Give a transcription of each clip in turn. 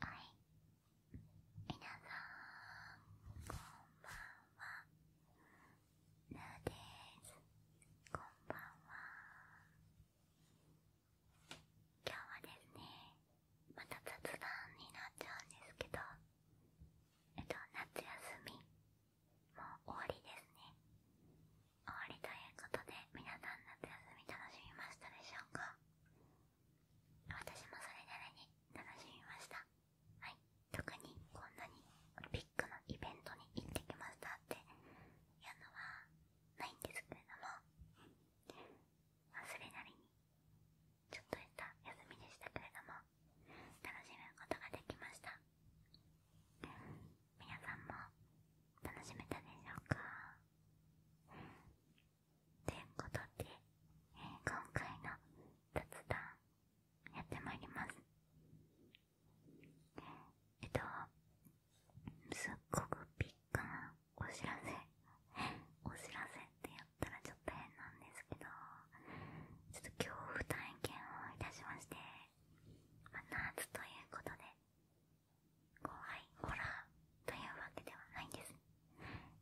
はいみなさんこんばんはぬーですこんばんは今日はですねまた雑談になっちゃうんですけどえっと夏休みもう終わりですね終わりということで皆さん夏休み楽しみましたでしょうか私もそれなりに楽しみましたはい特にこんなにビッグなイベントに行ってきましたっていうのはないんですけれどもそれなりにちょっとした休みでしたけれども楽しむことができました皆さんも楽しめたでしょうかといことで、今回の雑談やってまいりますえっとすっごくピッカなお知らせお知らせってやったらちょっと変なんですけどちょっと恐怖体験をいたしまして、夏ということで怖いホラーというわけではないんです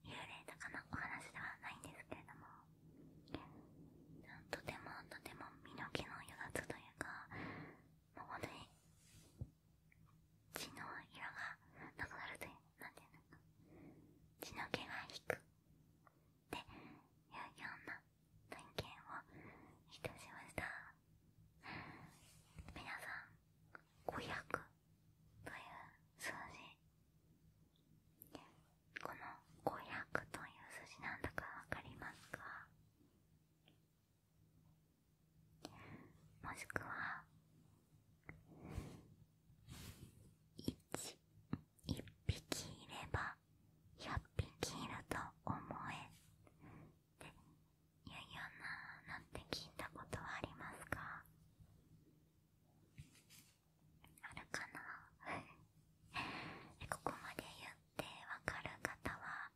幽霊とかのお話ではないんですけれどもとてもとても身の毛の余だというかもう本当に血の色がなくなるというなていうのか血の毛が引くっていうような体験をいたしました皆さん500という数字この500という数字なんだかわかりますかもしくは1一匹いれば100匹いると思えいやいやななんて聞いたことはありますかあるかな ここまで言ってわかる方は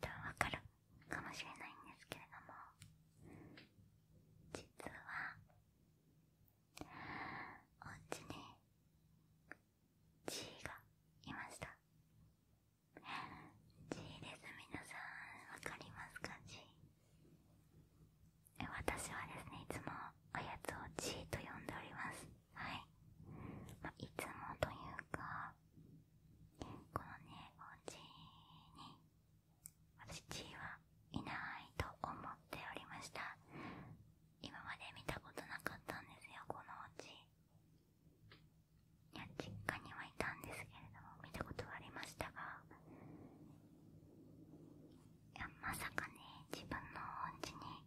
多分わかるかもしれないんですけれども実はおうちに G がいました G です皆さん分かりますか G 私はですねいつもおやつを G と呼んでおりますはい、いつもというかこのねおうちに私 G はいないと思っておりました今まで見たことなかったんですよこのおうちいや実家にはいたんですけれども見たことはありましたがいやまさかね自分のお家に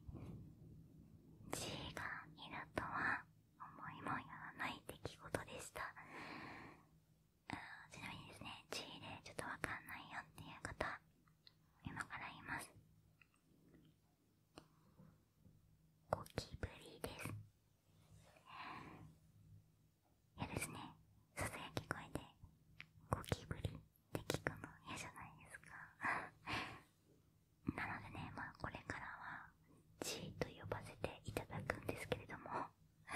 G がいるとは思いもよらない出来事でしたちなみにですね G でちょっとわかんないよっていう方今からいますゴキブリです。いやですね。ささやき声でゴキブリって聞くの嫌じゃないですか。なのでね、まあこれからは G と呼ばせていただくんですけれどもい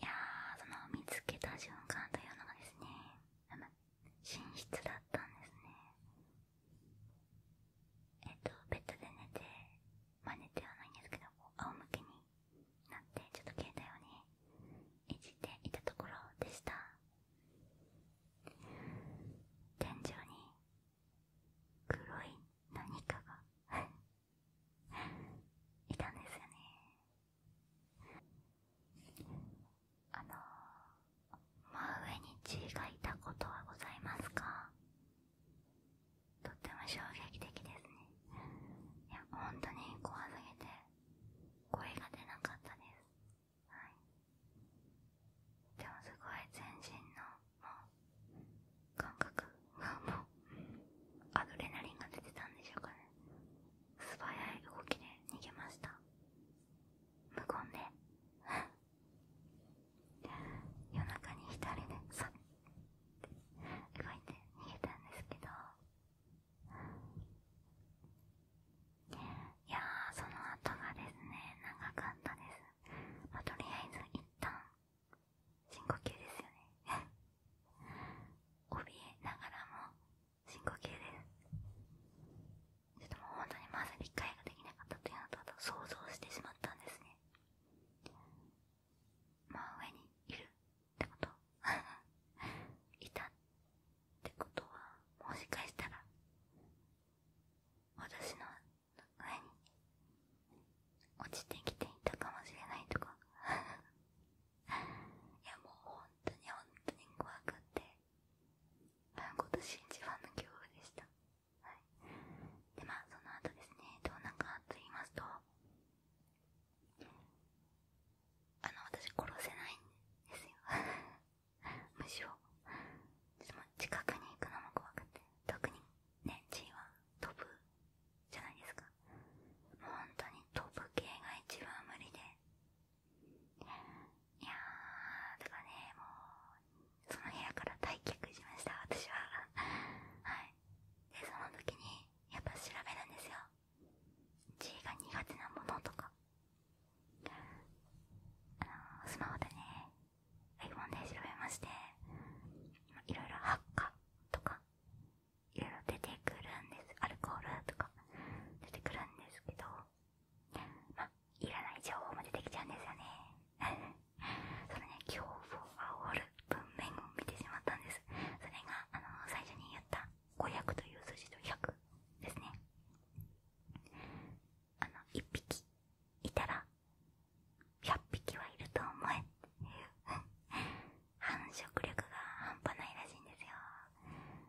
やその見つけた瞬間というのがですね、寝室だったんですね。えっと、ベッドで寝て、まあ寝てはないんですけど、こう仰向けになって、ちょっと携帯をね、いじっていたところでした。天井に黒い何かが いたんですよね。あの真上に血がいたことはございますかとっても衝撃的ですねいや本当に怖すぎて声が出なかったですでもすごい全身の感覚アドレナリンが出てたんでしょうかね素早い動きで逃げました無言で夜中に一人でさって動いて逃げたんですけどいやーその後がですね長かったですまとりあえず一旦深呼吸ですよね怯えながらも深呼吸ですちも本当にまず理解ができなかったというのとあと想像してしまったんですね真上にいるってこと いたってことはもしかしたら私の上に落ちてきていたかもしれないとか いやもう本当に本当に怖くって今年一番の恐怖でした。はい。で、まあ、その後ですね、どうなんかと言いますと、あの、私殺せないんですよ。むしろ、ちょ近くに行くのも怖くて、特にね、G は飛ぶじゃないですか。もう本当に飛ぶ系が一番無理で、いやー、だからね、もう、その部屋から退却しました、私は。はい。で、その時に、やっぱ調べるんですよ。字が苦手なものとか。あのスマホでね、iPhone で調べまして、いろいろハッカとか、いろいろ出てくるんです。アルコールとか、出てくるんですけど、まあ、いらない情報も出てきちゃうんですよね そのね恐怖を煽る文面を見てしまったんですそれがあの最初に言った500という数字と100ですねあの1匹いたら100匹はいると思えっていう 繁殖力が半端ないらしいんですよ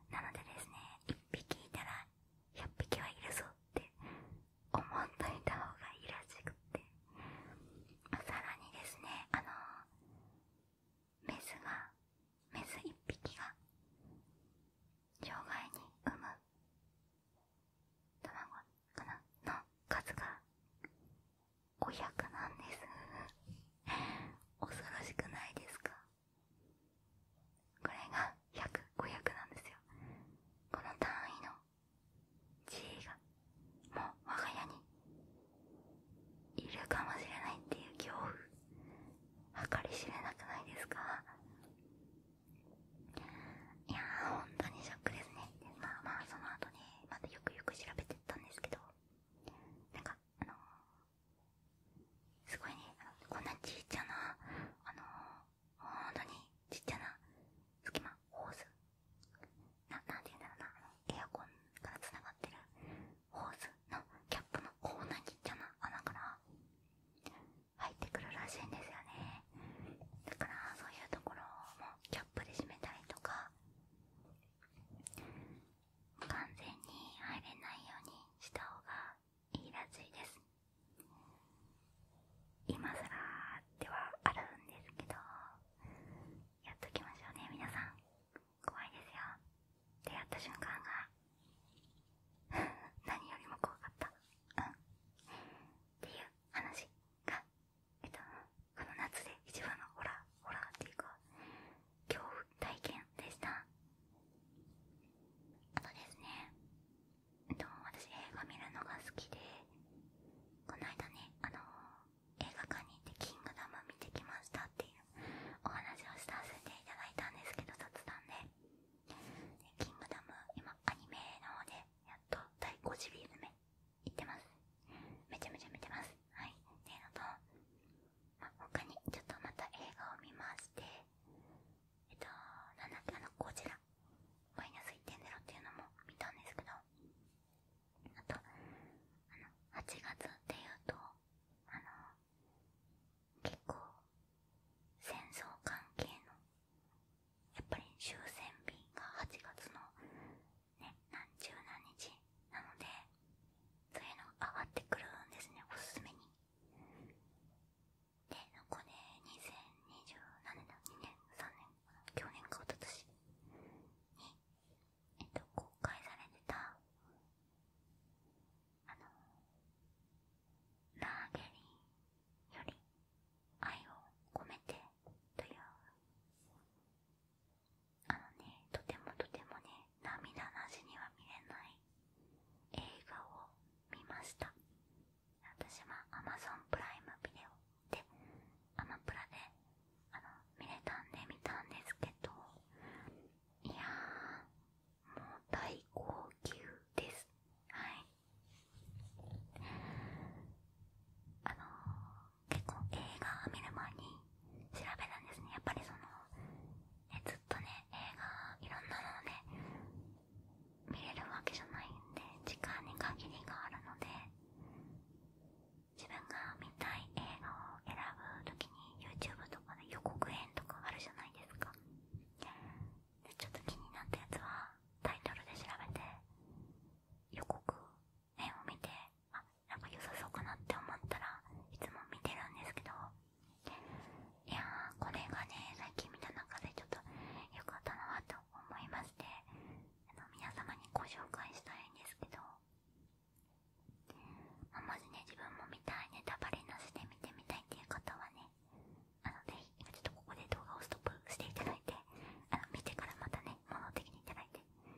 なのでですね1匹いたら100匹はいるぞって思っといた方がいいらしくて、さらにですねあのメスがメス1匹が障害に産む卵かなの数が500なんです 恐ろしくないですかこれが100500なんですよこの単位の G がもう我が家にいるかもしれないっていう恐怖計り知れなくないですかいやー本当にショックですねまあまあその後ねまたよくよく調べてったんですけどなんかあのすごいねこんなちっちゃなあのー、本当にちっちゃな隙間ホースななて言うんだろうなエアコンからつながってるホースのキャップのこんなちっちゃな穴から入ってくるらしいんですよねだからそういうところもキャップで締めたりとか完全に入れないようにした方がいいらしいです今更ではあるんですけどやっときましょうね皆さん怖いですよ出会った瞬間が 何よりも怖かったうんっていう話がえっとこの夏で一番のホラーホラっていうか恐怖体験でしたあとですねと私映画見るのが好きでこの間ねあの映画館に行って「キングダム」見てきましたっていうお話をさせていただいたんですけど雑談で「キングダム」今アニメの方でやっと第5 0リーズ目いってますめちゃめちゃ見てますはいってのと、ま他にちょっとまた映画を見ましてえっとなんだっけこちらマイナス1.0っていうのも見たんですけどあとあの8月っていうとあの結構戦争関係のやっぱり終戦日が8月のね何十何日なのでそういうのが上がってくるんですねおすすめにで残り2020何年だ2年3年去年かおととしに、えっと、公開されてたあのラーゲリより愛を込めてというあのねとてもとてもね涙なしには見れない映画を見ました私は Amazon プライムビデオでアマプラであの見れたんで見たんですけどいやもう大号泣ですはいあの結構映画を見る前に調べたんですねやっぱりそのえっとね映画いろんなのね見れるわけじゃないんで時間に限りがあるので自分が見たい映画を選ぶ時に YouTube とかで予告編とかあるじゃないですかちょっと気になったやつはタイトルで調べて予告編を見てあなんか良さそうかなって思ったらいつも見てるんですけどいやーこれがね最近見た中でちょっと良かったなと思いましてあの皆様にご紹介したいんですけど、ままずね自分も見たいネタバレなしで見てみたいっていう方はねあのぜひ今ちょっとここで動画をストップしていただいてあの見てからまたね戻ってきていて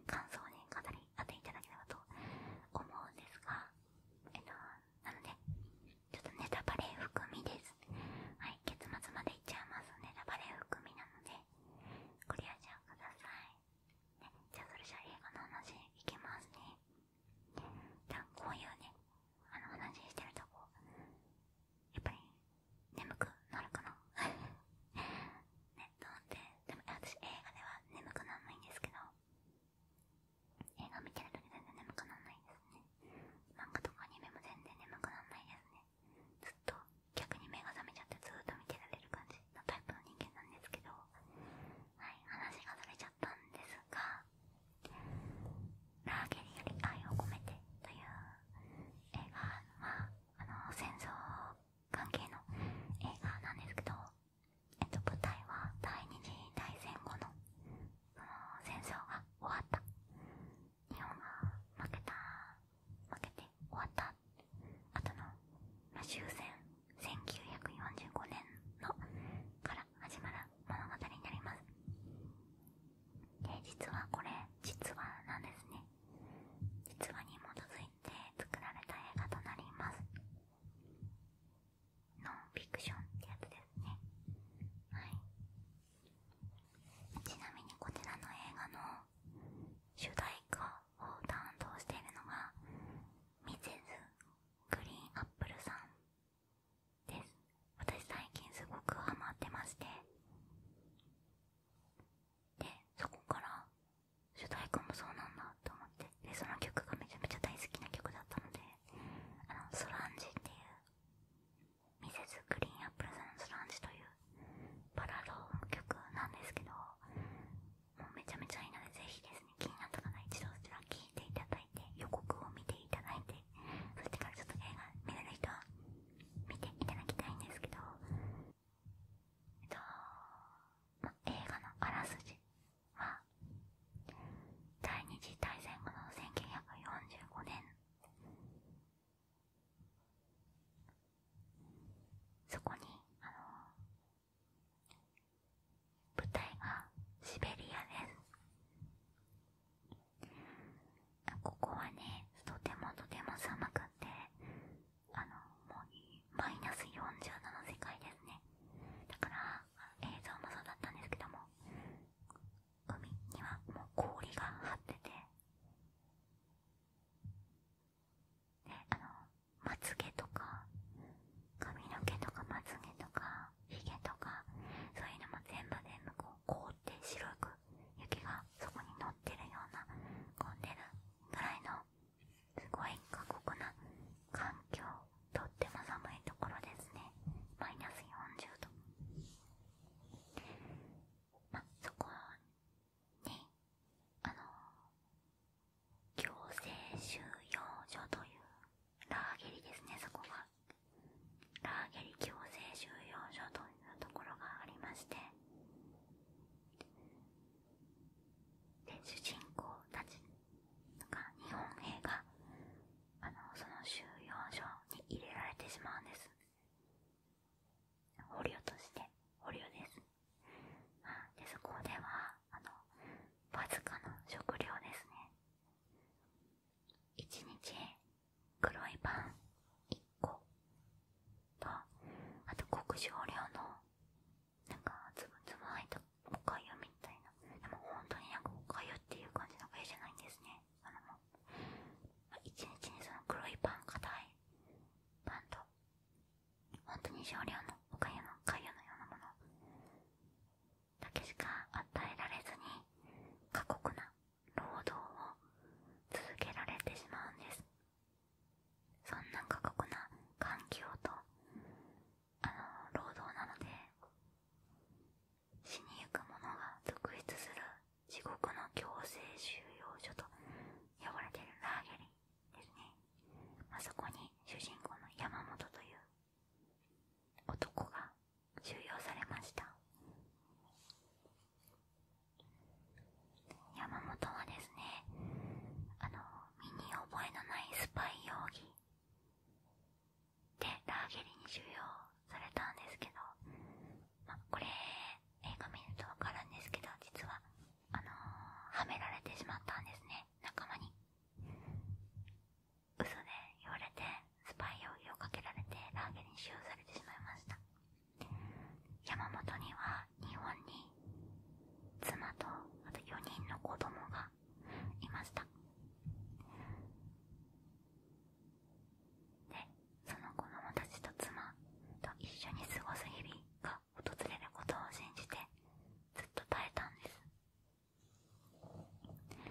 感想をね語り合っていただければと思うんですがえっとなのでちょっとネタバレ含みですはい結末までいっちゃいますネタバレ含みなのでご了承ください、じゃあそれじゃあ映画の話いきますねじゃあこういうねあの話してるとこやっぱり眠くなるかな ねと思っでも私映画では眠くならないんですけど映画見てるとき全然眠くならないですね漫画とかアニメも全然眠くならないですねずっと逆に目が覚めちゃってずっと見てられる感じのタイプの人間なんですけどはい話がずれちゃったんですがラーゲリより愛を込めてという映画はあの戦争関係の映画なんですけどえっと、舞台は第二次大戦後の戦争が終わった日本が負けた負けて終わった後の、ま終戦1945年のから始まる物語になりますで実はこれ実話なんですね実話に基づいて作られた映画となりますノンフィクションってやつですねはいちなみにこちらの映画の主題歌を担当しているのがミセス・グリーン・アップルさんです私最近すごくハマってましてでそこから主題歌もそうなんだと思ってでその曲がめちゃめちゃ大好きな曲だったのであのソランジっていうミセスグリーンアップルさんのソランジというバラード曲なんですけどもうめちゃめちゃいいのでぜひですね気になった方は一度そちら聴いていただいて予告を見ていただいてそしてからちょっと映画見れる人は見ていただきたいんですけどえっと、ま、映画のあらすじは第二次大戦後の1945年そこにあの舞台がシベリアですここはねとてもとても寒くてあのマイナス47の世界ですねだから映像もそうだったんですけども海にはもう氷が張っててであのまつげとか髪の毛とかまつげとかひげとかそういうのも全部全部こう凍って白く雪がそこに乗ってるような混んでるぐらいのすごい過酷な環境とっても寒いところですねマイナス40度まあそこにあの強制収容所というラーゲリですねそこがラーゲリ強制収容所というところがありましてで主人公たち日本兵があのその収容所に入れられてしまうんです捕虜として捕虜ですでそこではあのわずかな食料ですね1日黒いパン1個とあと極小量のなんかつぶつぶ入ったおかゆみたいなでも本当になんかおかゆっていう感じのおじゃないんですねあのも一日にその黒いパン硬いパンと本当に少量のおかのおかゆのようなものだけしか与えられずに過酷な労働を続けられてしまうんですそんな過酷な環境とあの労働なので死にゆく者が続出する地獄の強制収容所と呼ばれてるラーゲリですね、あ、そこに主人公の山本という男が収容されました山本はですねあの身に覚えのないスパイ容疑でラーゲリに収容されたんですけど、まこれ映画見るとわかるんですけど実はあのはめられてしまったんですね仲間に嘘で言われてスパイ容疑をかけられてラーゲリに収容されてしまいました山本には日本に妻とあと4人の子供がいましたでその子供たちと妻と一緒に過ごす日々が訪れることを信じてずっと耐えたんですで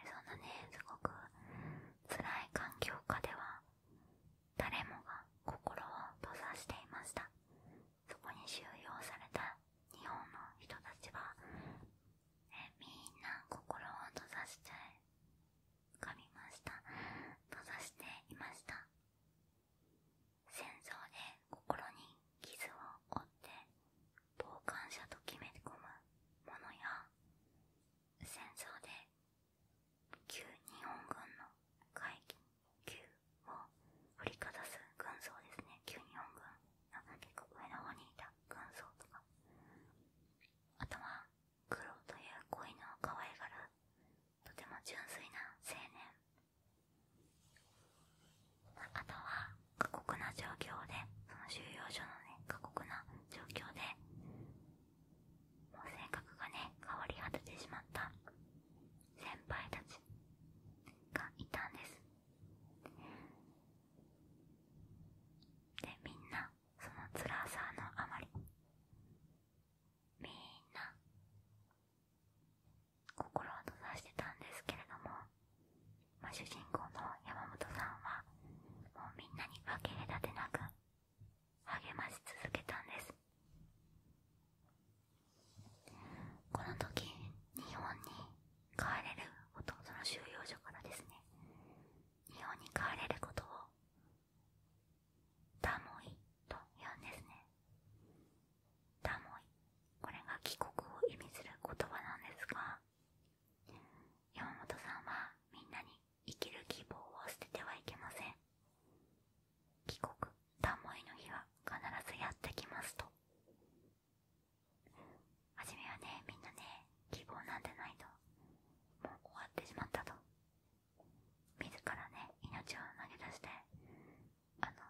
そんなねすごく辛い環境下では誰もが心を閉ざしていましたそこに収容された日本の人たちはみんな心を閉ざして噛みました閉ざしていました戦争で心に傷を負って傍観者と決め込むものや戦争で旧日本軍の会議旧を振りかざす軍曹ですね旧日本軍なんか結構上の方にいた軍曹とかあとは黒という恋の可愛がるとても純粋な青年あとは過酷な状況でその収容所のね過酷な状況でもう性格がね変わり果ててしまった先輩たちがいたんですでみんなその辛さのあまりみんな心を閉ざしてたんですけれども、ま主人公の山本さんはもうみんなに分け隔てなく励まし続けたんですこの時日本に帰れる弟の収容所からですね日本に帰れることをダモイと言うんですねダモイこれが帰国を意味する言葉なんですが山本さんはみんなに生きる希望を捨ててはいけません帰国田んぼいの日は必ずやってきますと初めはねみんなね希望なんてないともう終わってしまったと自らね命を投げ出してあの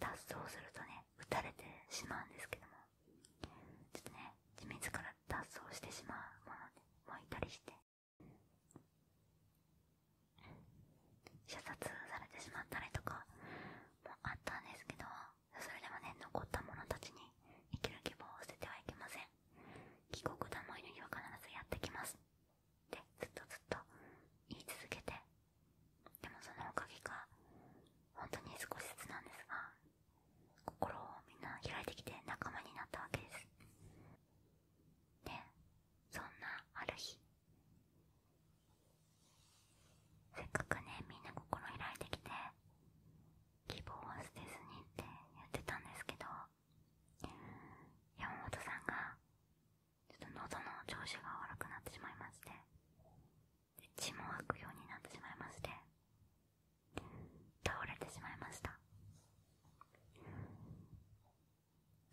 脱走するとね撃たれてしまうんですけどもちょっとね自ら脱走してしまうものでもういたりして射殺されてしまったりとかもあったんですけどそれでもね残った者たちに生きる希望を捨ててはいけません帰国だも犬には必ずやってきますってずっとずっと言い続けてでもそのおかげか本当に少しずつなんですが心をみんな開いてきて仲間になったわけですでそんなある日せっかくねみんな心開いてきて希望は捨てずにって言ってたんですけど山本さんがちょっと喉の調子が悪くなってしまいまして血も吐くようになってしまいまして倒れてしまいました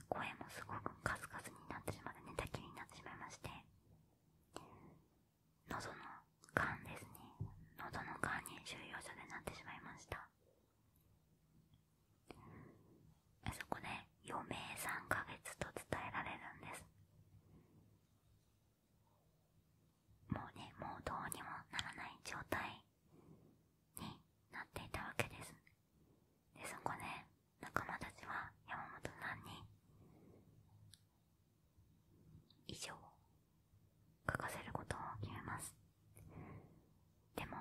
声もすごくカスカスになってしまって寝たきりになってしまいまして喉のがですね喉のがに収容所でなってしまいましたそこで余命3ヶ月と伝えられるんですもうねもうどうにもならない状態になっていたわけですでそこで仲間たちは山本さんに以上書かせることを決めますでも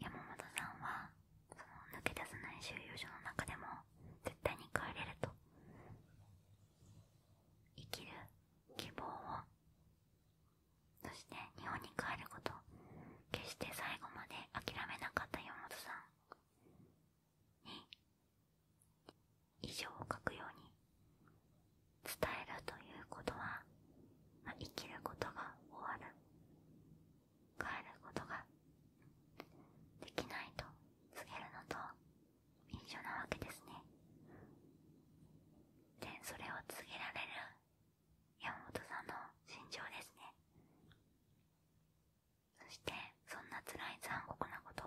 山本さんはその抜け出せない収容所の中でも絶対に帰れると生きる希望をそして日本に帰ること決して最後まで諦めなかった岩本さんに以上を書くように伝えるということは、生きることが終わる帰ることができないと告げるのと一緒なわけですねでそれを告げられる山本さんの心情ですねそしてそんな辛い残酷なことを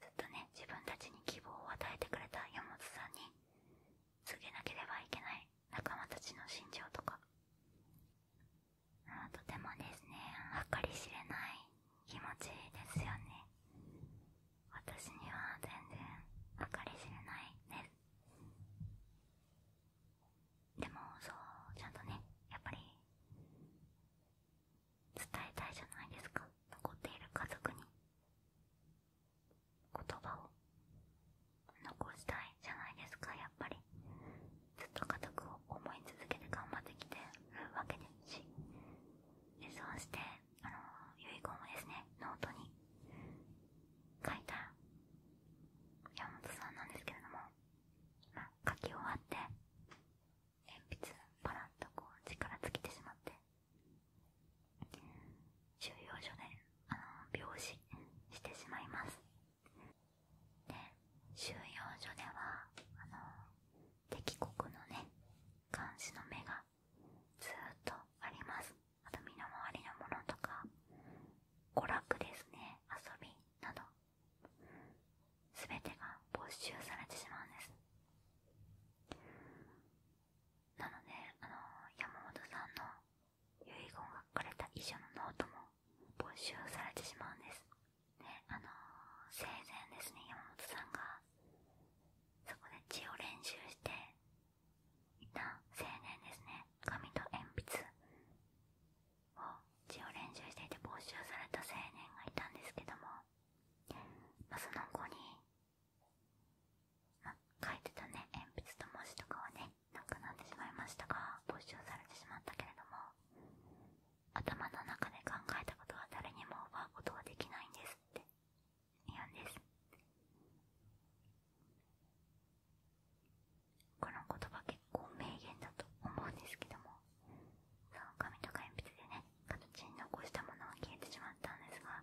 ずっとね自分たちに希望を与えてくれた山本さんに告げなければいけない仲間たちの心情とかとてもですね計り知れない気持ちいいですよね私には全然計り知れないですでもそうちゃんとねやっぱり伝えたいじゃないですか残っている家族に言葉を残したいじゃないですかやっぱりずっと家族を思い続けて頑張ってきてるわけですしそうして、あの遺言をですね、ノートに書いた山本さんなんですけれども、書き終わって、鉛筆パラッとこう力尽きてしまって、収容所で、あの病死してしまいます。で、収容所では、あの敵国のね監視の目がずっとありますあと身の回りのものとか娯楽ですね遊びなど全てが没収されてしまうんですなので、あの山本さんの遺言が書かれた遺書のノートも没収されてしまうんですあの生前ですね、山本さんが、そこで血を練習していた青年ですね、紙と鉛筆を血を練習していて没収された青年がいたんですけども、まその後に、ま書いてたね、鉛筆と文字とかはね、なくなってしまいましたが、没収されてしまったけれども、頭の中で考えたことは誰にも奪うことはできないんですって言うんですこの言葉結構名言だと思うんですけどもその紙とか鉛筆でね形に残したものは消えてしまったんですが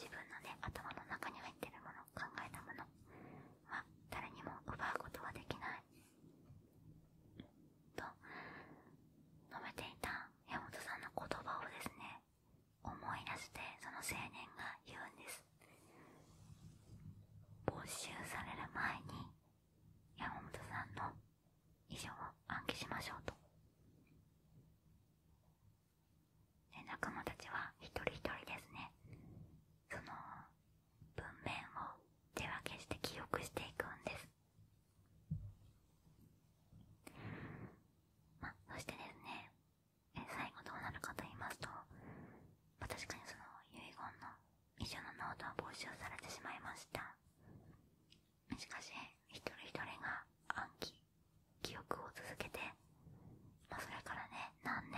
自分のね頭の中に入ってるもの考えたものは誰にも奪うことはできないと述べていた山本さんの言葉をですね思い出してその青年が言うんです没収される前に山本さんの遺書を暗記しましょうとで仲間たちは一人一人ですねその文面を手分けして記憶していくんですまあ、そしてですね、え最後どうなるかと言いますと、ま確かにその遺言の遺書のノートは募集されてしまいました。しかし、一人一人が暗記、記憶を続けて、まそれからね、何年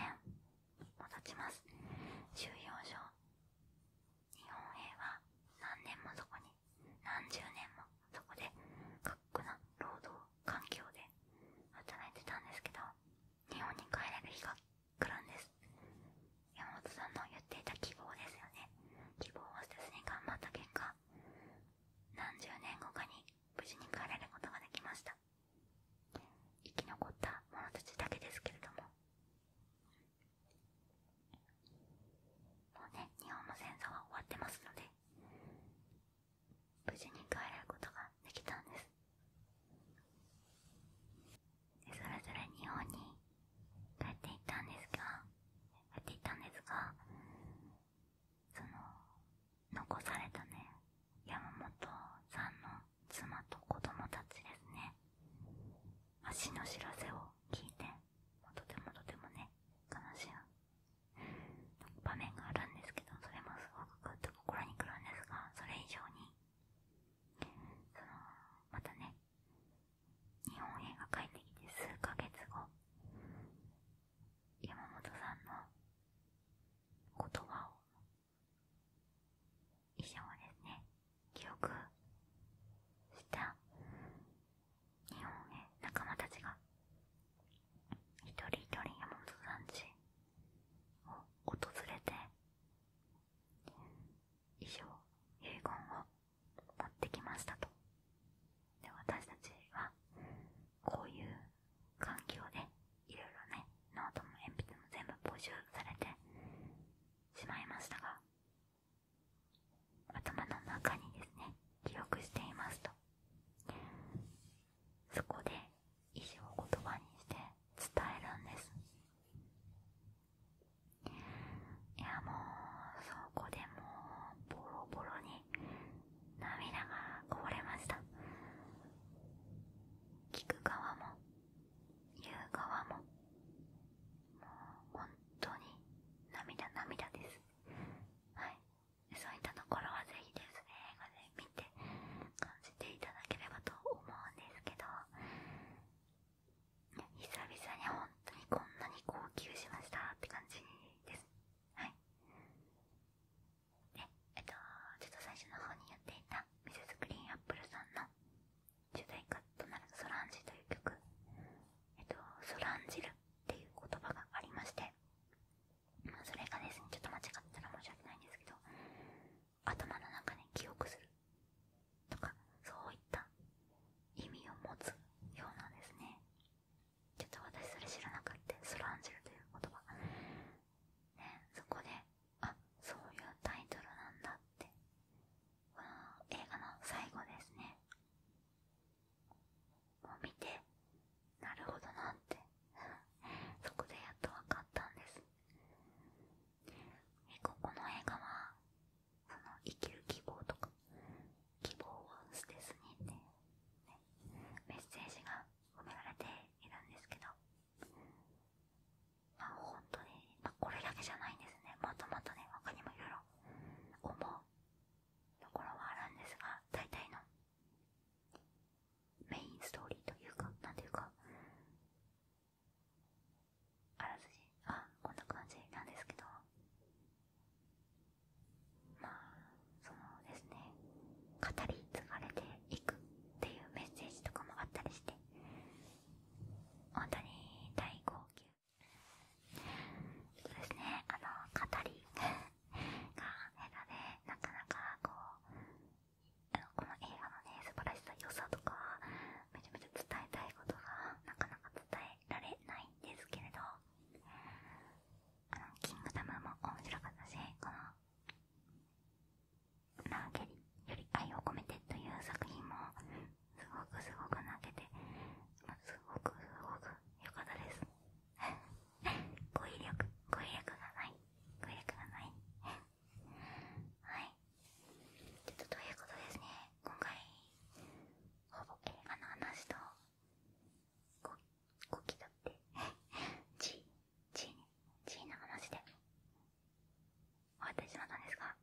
も経ちます。収容所日本兵は何年もそこに何十年もそこで過酷な労働環境で働いてたんですけど日本に帰れる日が来るんです山本さんの言っていた希望ですよね希望を捨てずに頑張った結果何十年後かに無事に帰れることができました生き残った者たちだけですけれどももうね日本の戦争は終わってますので無事に帰ることができたんですそれぞれ日本に帰っていったんですが帰っていったんですがその残されたね山本さんの妻と子供たちですね足の知らせを聞いて、とてもとてもね、悲しい場面があるんですけど、それもすごくグッと心にくるんですが、それ以上に、その、またね、日本映画帰ってきて数ヶ月後、山本さんの言葉を以上ですね記憶した日本へ仲間たちが一人一人山本さんちを訪れて遺書遺言を持ってきましたとで私たちはこういう環境でいろいろねノートも鉛筆も全部募集されてしまいましたが頭の中にですね記憶していますとそこで意思を言葉にして伝えるんですいやもうそこでもうボロボロに涙がこぼれました聞く側も言う側ももう本当に涙涙ですはいそういったところはぜひですね映画で見て感じていただければと思うんですけど久々に本当にこんなに号泣しましたって感じですはいでえっとちょっと最初の方にやっていたミセスグリーンアップルさんの主題歌となるソランジという曲、えっと、ソランジルっていう言葉がありまして、それがですね、ちょっと間違ったら申し訳ないんですけど、頭の中で記憶するとか、そういった意味を持つようなんですね。ちょっと私それ知らなかった、ソランジルという言葉。ね、そこで、そういうタイトルなんだってこの映画の最後ですねもう見てなるほどなってそこでやっと分かったんですえここの映画はその生きる希望とか希望を捨てずにって、ね、メッセージが込められているんですけどまあ本当に、まこれだけじゃないんですねまたまとね他にもいろいろ思うところはあるんですが大体のメインストーリーというかなんていうかあらすじあこんな感じなんですけどまあそのですね語り継がれていくっていうメッセージとかもあったりして本当に大号泣そうですねあの語りが下手でなかなかこうこの映画のね素晴らしさ良さとかめちゃめちゃ伝えたいことがなかなか伝えられないんですけれどあのキングダムも面白かったしこのなけりより愛を込めてという作品もすごくすごく泣けて、すごくすごく良かったです 語彙力語彙力がない語彙力がないはいちょっとということですね今回ほぼ映画の話とごごきだって G, G, G な話で終わってしまったんですがあ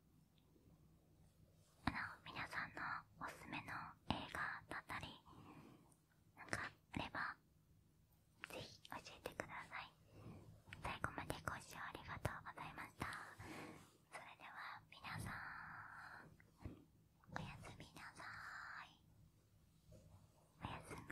の皆さんのおすすめの映画だったりなんかあればぜひ教えてください最後までご視聴ありがとうございましたそれでは皆さんおやすみなさいおやすみ